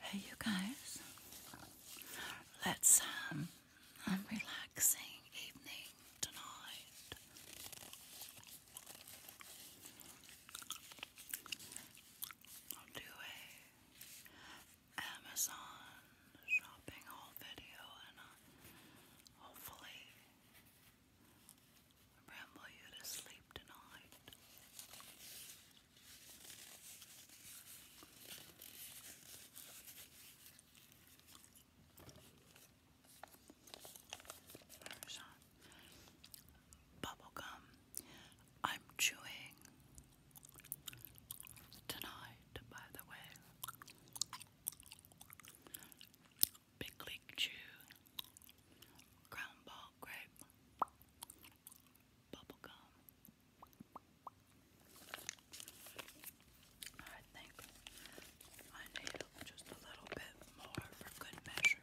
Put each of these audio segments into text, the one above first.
Hey, you guys, let's um, and relaxing evening tonight. I'll do a Amazon shopping haul video and hopefully ramble you to sleep tonight. Parmesan. Bubblegum. I'm chewing tonight, by the way. Big League Chew. Ground Ball Grape. Bubblegum. I think I need just a little bit more for good measure.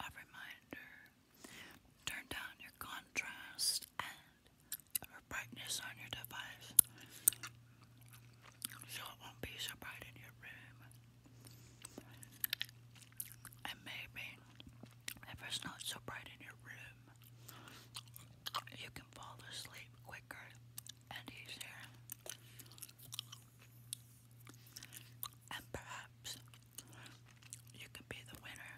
A reminder turn down your contrast and brightness on your device so it won't be so bright in your room. And maybe if it's not so bright in your room, you can fall asleep quicker and easier. And perhaps you could be the winner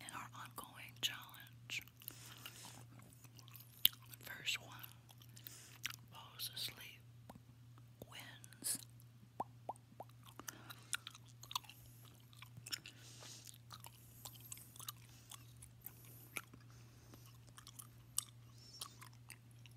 in our ongoing challenge. First one falls asleep, wins.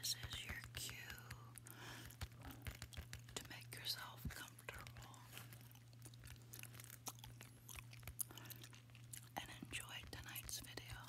This is your cue to make yourself comfortable and enjoy tonight's video.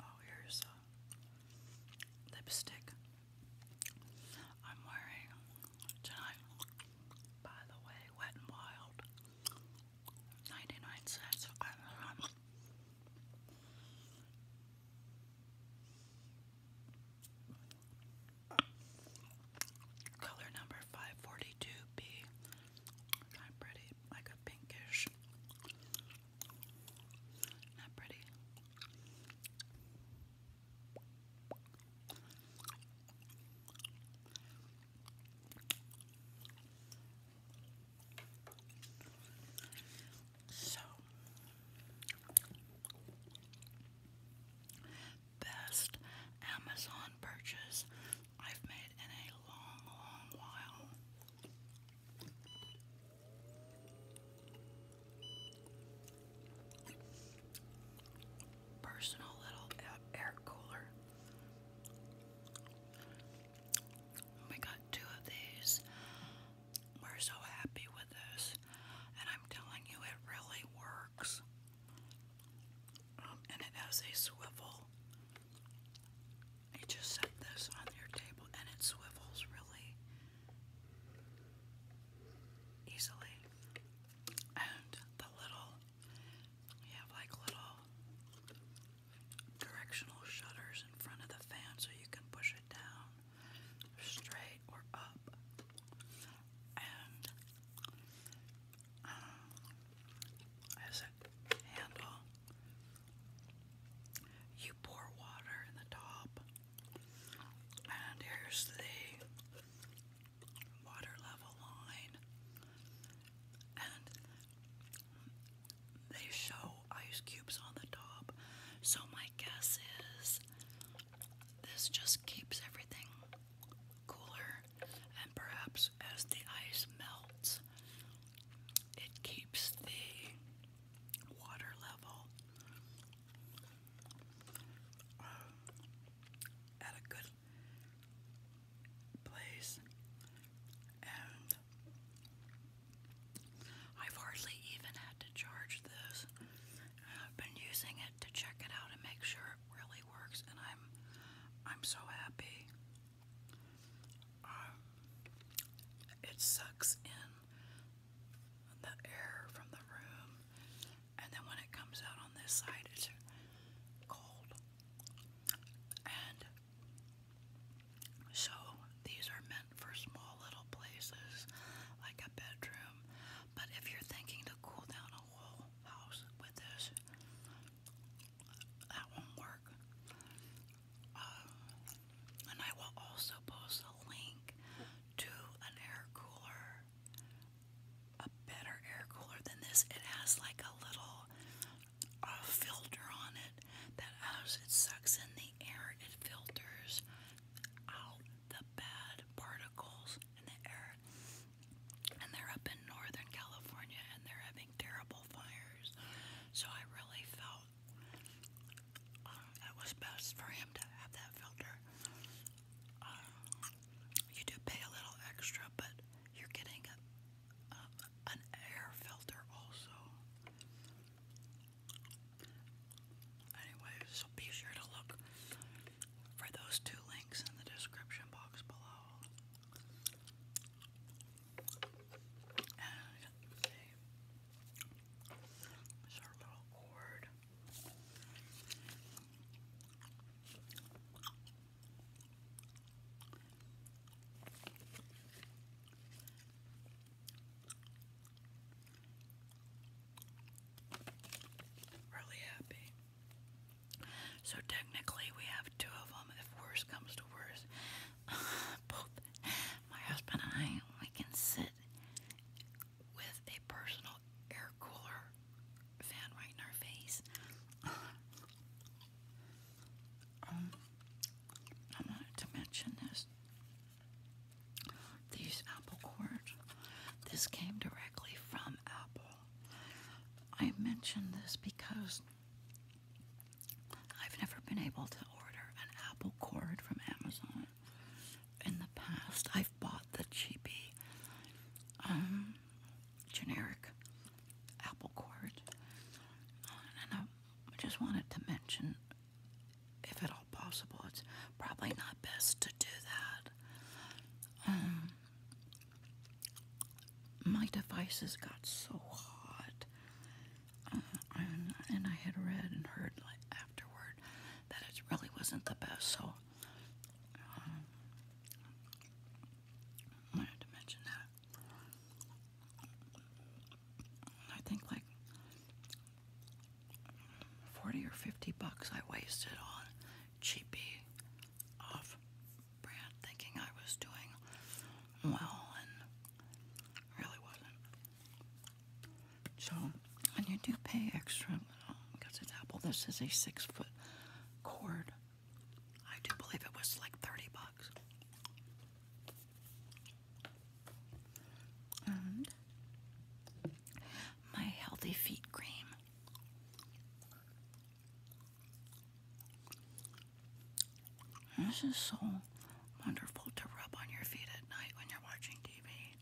Oh, here's a lipstick I'm wearing tonight. By the way, Wet n Wild, 99 cents. Um, color number 542B not pretty, like a pinkish. Not pretty. So, best Amazon purchase I've made in a long, long while. Personal little air cooler. We got two of these. We're so happy with this, and I'm telling you, it really works. Um, and it has a swivel. You just set this on your table and it swivels really easily. And the little, you have like little directional shutters in front of the fan so you can push it down straight or up as a handle. You pour water in the top, and here's the water level line. And they show ice cubes on the top, so my guess is this just keeps everything cooler and perhaps as the ice melts, it keeps the water level uh, at a good place. And I've hardly even had to charge this. I've been using it to check it out and make sure really works, and I'm I'm so happy. Um, it sucks in the air from the room, and then when it comes out on this side, it's cold. And so these are meant for small little places, like a bedroom. But if you're thinking to cool down a whole house with this, that won't work. Um, and I will also post a link to an air cooler, a better air cooler than this. It has like a little uh, filter on it that as it sucks in the air, it filters out the bad particles in the air. And they're up in Northern California and they're having terrible fires. So I really felt uh, it was best for him to have that filter. Uh, you do pay a little extra, but you're getting an air filter also. Anyway, so be sure to look for those two links in the description box below. okay, it's our little cord. Really happy. So technically, we have two of them. If worse comes to worse, both my husband and I we can sit with a personal air cooler fan right in our face. Um, I wanted to mention this. These apple cores. This came directly from Apple. I mention this because I've never been able to order an apple cord from Amazon. In the past, I've bought the cheapy, um, generic apple cord, and I just wanted to mention, if at all possible, it's probably not best to do that. Um, my devices got so hot, uh, and, I had read and heard like afterward that it really wasn't the best. So wanted um, to mention that. I think like forty or fifty bucks I wasted on cheapy, off brand, thinking I was doing well and really wasn't. So, and you do pay extra because it's Apple. This is a six foot cord. I do believe it was like 30 bucks. And my healthy feet cream this is so wonderful to rub on your feet at night when you're watching TV.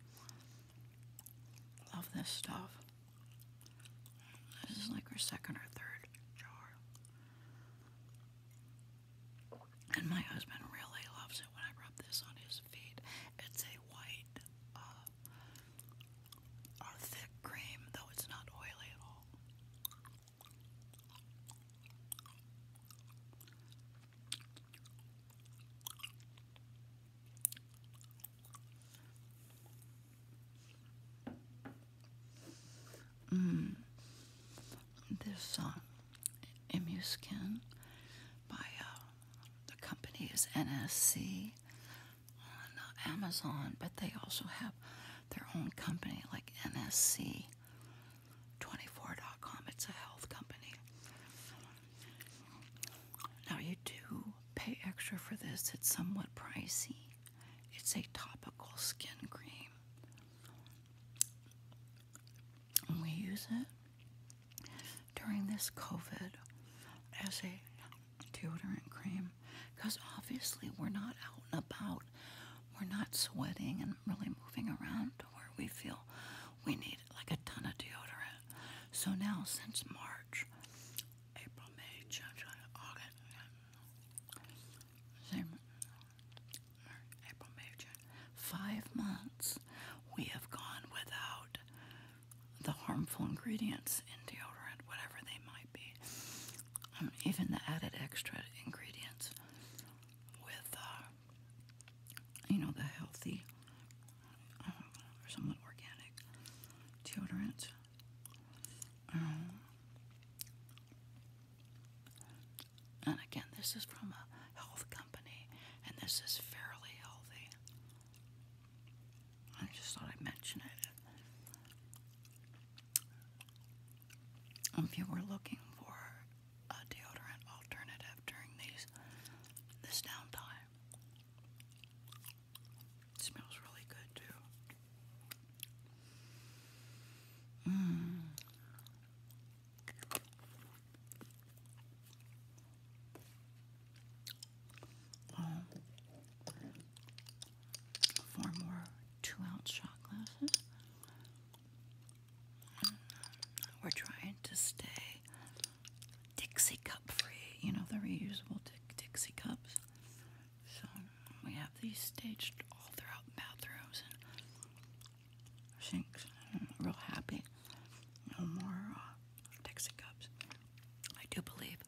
Love this stuff. This is like our second or third jar. And my husband really loves it when I rub this on his feet. It's a white uh, are thick cream, though it's not oily at all. Mm. This uh, um, Imuskin by uh, the company is NSC on Amazon, but they also have their own company like NSC24.com. It's a health company. Now, you do pay extra for this, it's somewhat pricey. It's a topical skin cream. We use it during this COVID as a deodorant cream because obviously we're not out and about. We're not sweating and really moving around to where we feel we need like a ton of deodorant. So now, since March, April, May, June, July, August, same, April, May, June, five months, we have gone without the harmful ingredients in deodorant, whatever they might be, um, even the added extra ingredients with, uh, you know, the healthy um, or somewhat organic deodorant. Um, and again, this is from a health company, and this is fairly healthy. I just thought I'd mention it. If you were looking for a deodorant alternative during these this downtime, smells really good too. Mm four more two ounce shot glasses. We're trying to stay Dixie cup free, you know, the reusable Dixie cups. So we have these staged all throughout bathrooms and sinks. real happy no more uh, cups. I do believe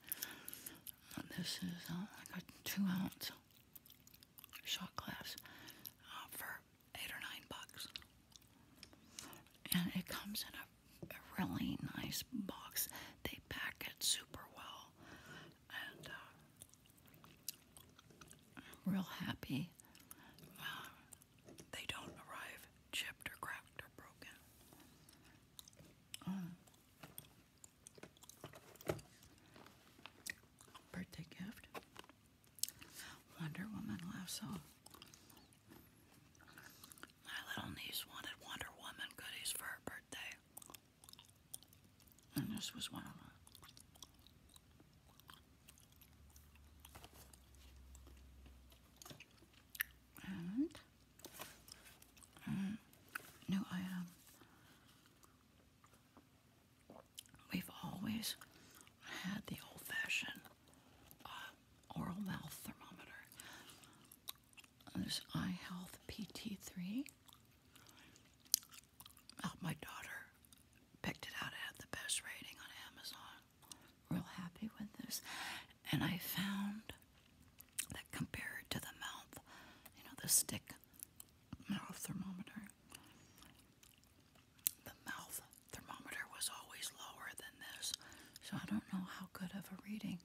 this is uh, like a two ounce shot glass uh, for eight or nine bucks, and it comes in a, really nice box. They pack it super well, and uh, I'm real happy uh, they don't arrive chipped or cracked or broken. Mm. Birthday gift. Wonder Woman lasso. My little niece wanted Wonder Woman goodies for her birthday. And this was one of them and um, no, I we've always had the old-fashioned uh, oral mouth thermometer. There's Eye Health PT3. my daughter picked it out. It had the best rating on Amazon real happy with this. And I found that compared to the mouth, you know, the stick mouth thermometer, the mouth thermometer was always lower than this. So I don't know how good of a reading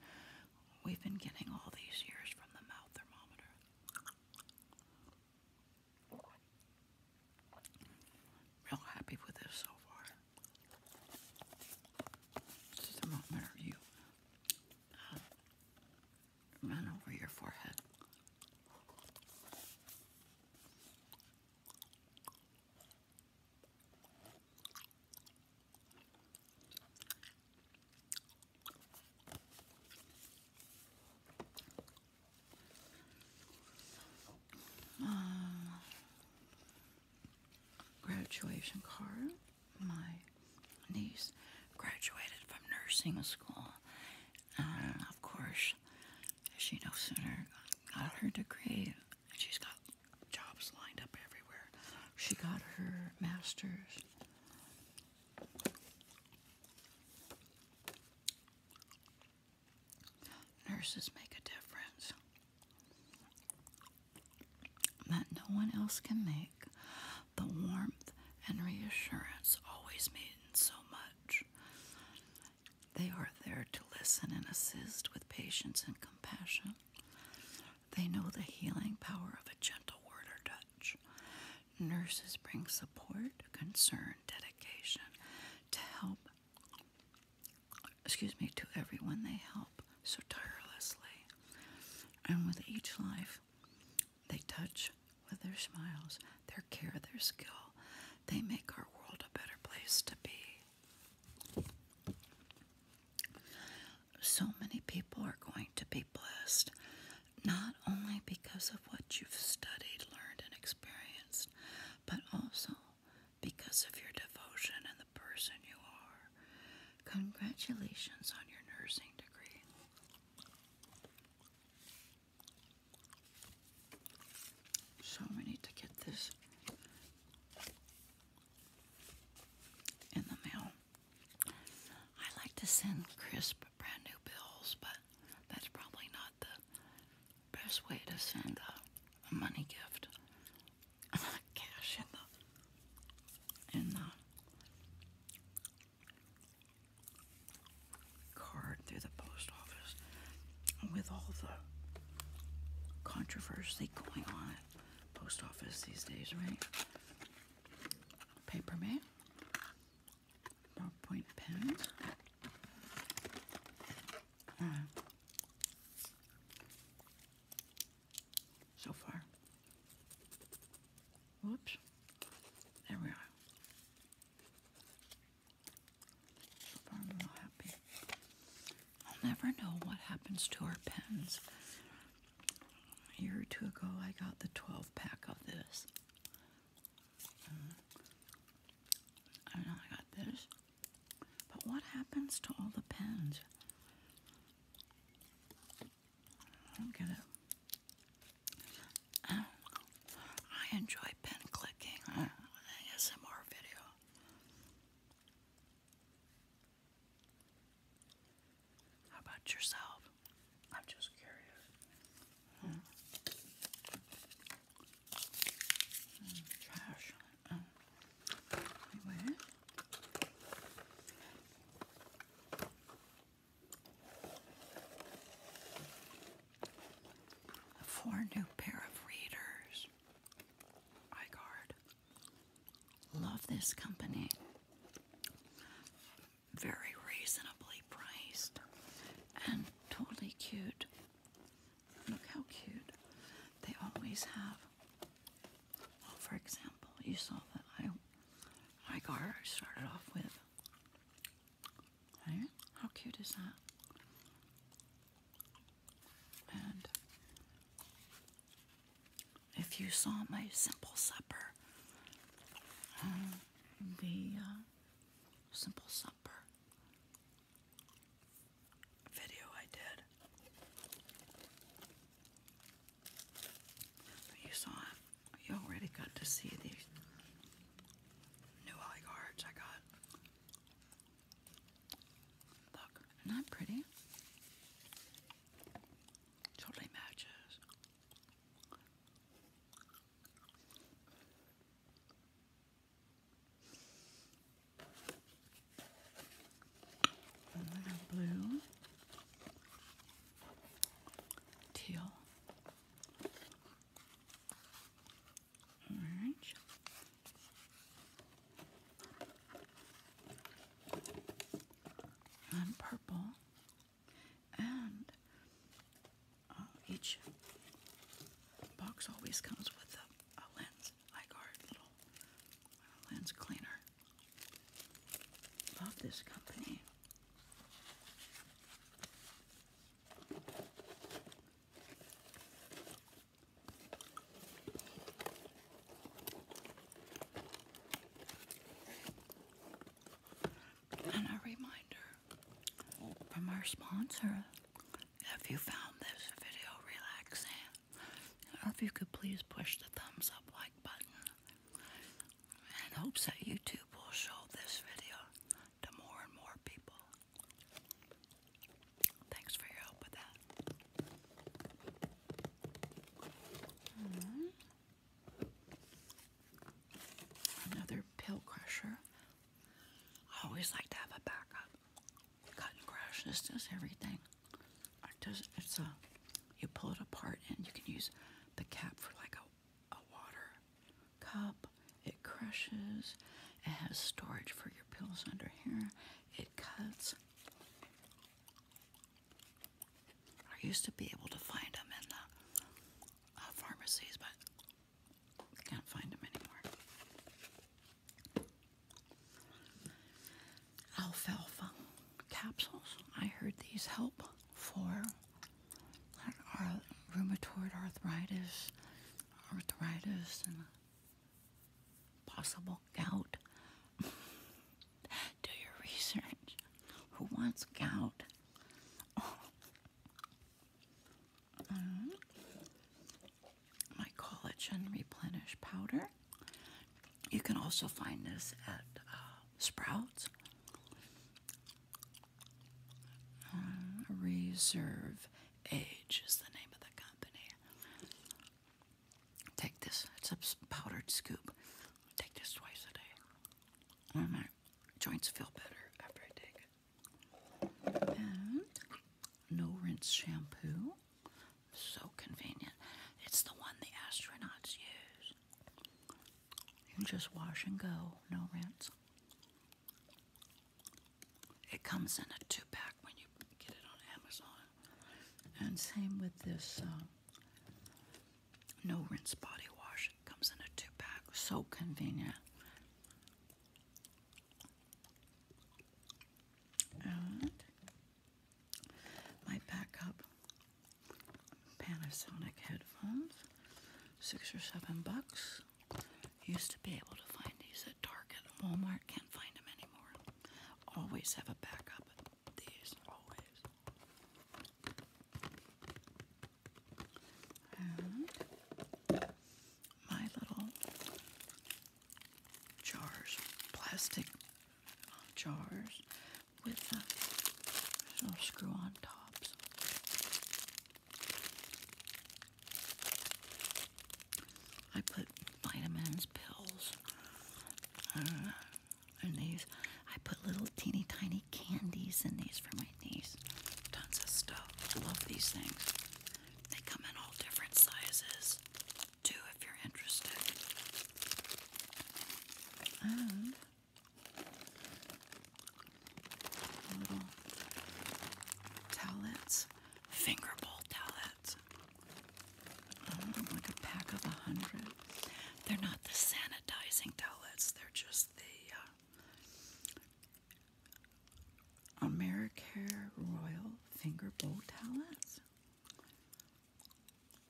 we've been getting all these years from the mouth thermometer. Real happy with this so far. This is moment you run over your forehead. Um, graduation card. My niece graduated from nursing school. of course, she no sooner got her degree, she's got jobs lined up everywhere. She got her master's. Nurses make a difference that no one else can make. The warmth and reassurance always mean so much. They are there to listen and assist with patience and compassion. They know the healing power of a gentle word or touch. Nurses bring support, concern, dedication to help excuse me, to everyone they help so tirelessly. And with each life they touch with their smiles, their care, their skill, they make our world a better place to be. So many people are going to be blessed, not only because of what you've studied, learned, and experienced, but also because of your devotion and the person you are. Congratulations on your nursing degree. So we need to get this in the mail. I like to send crisp brand new bills, but that's probably not the Best way to send a, money gift. Cash in the in the card through the post office with all the controversy going on at post office these days, right? Paper mail, ballpoint pens. Uh, so far. Whoops. There we are. So far, I'm real happy. I'll never know what happens to our pens. A year or two ago, I got the 12 pack of this. Um, uh, and I got this. But what happens to all the pens? I don't get it. I enjoy pen clicking. ASMR video. How about yourself? I'm just curious. Hmm. Um, Four new pair of readers. iGuard. Love this company. Very reasonably priced and totally cute. Look how cute. They always have. for example, you saw that I, my started off with. How cute is that? And if you saw my simple supper, uh, the uh, simple supper video I did. You saw it. You already got to see these new eye guards I got. Look, not pretty. Totally matches. A little blue, teal. Orange. And purple, and uh, each box always comes with a a lens, like our little uh, lens cleaner. Love this company. And a reminder from our sponsor, if you found this video relaxing, if you could please push the thumbs up like button, in hopes that YouTube will show this video to more and more people. Thanks for your help with that. Hmm. Another pill crusher. always like to have a backup. Cotton Crush. This does everything. It does. It's a. You pull it apart and you can use the cap for like a, a water cup. It crushes. It has storage for your pills under here. It cuts. I used to be able to find them in the uh, pharmacies, but I can't find them anymore. Alfalfa capsules. I heard these help for rheumatoid arthritis, arthritis, and possible gout. Do your research. Who wants gout? Um, mm-hmm. my collagen replenish powder. You can also find this at uh, Sprouts. Mm-hmm. Reserve Age is the name of the company. Take this, it's a powdered scoop. Take this twice a day. my mm-hmm. joints feel better after I take it no rinse shampoo. So convenient. It's the one the astronauts use. You just wash and go, no rinse. It comes in a two pack when you get it on Amazon. And same with this um, no rinse body wash. It comes in a two pack. So convenient. And my backup Panasonic headphones, six or seven bucks. Used to be able to find these at Target Walmart, can't find them anymore. Always have a backup, these, always my little jars, plastic jars with little screw on tops. I put vitamins, pills uh, these. I put little teeny tiny candies in these for my niece. Tons of stuff. Love these things. They come in all different sizes, too, if you're interested. little towelettes, finger bowl towelettes. Um, like a pack of a hundred. They're not the sanitizing towelettes, they're just the uh, Americare Royal Finger Bow Towels.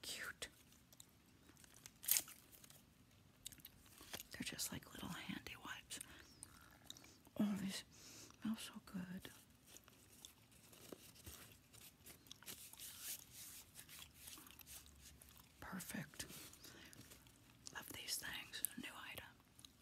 Cute. They're just like little handy wipes. Oh, these smell so good. Perfect. Love these things. New item.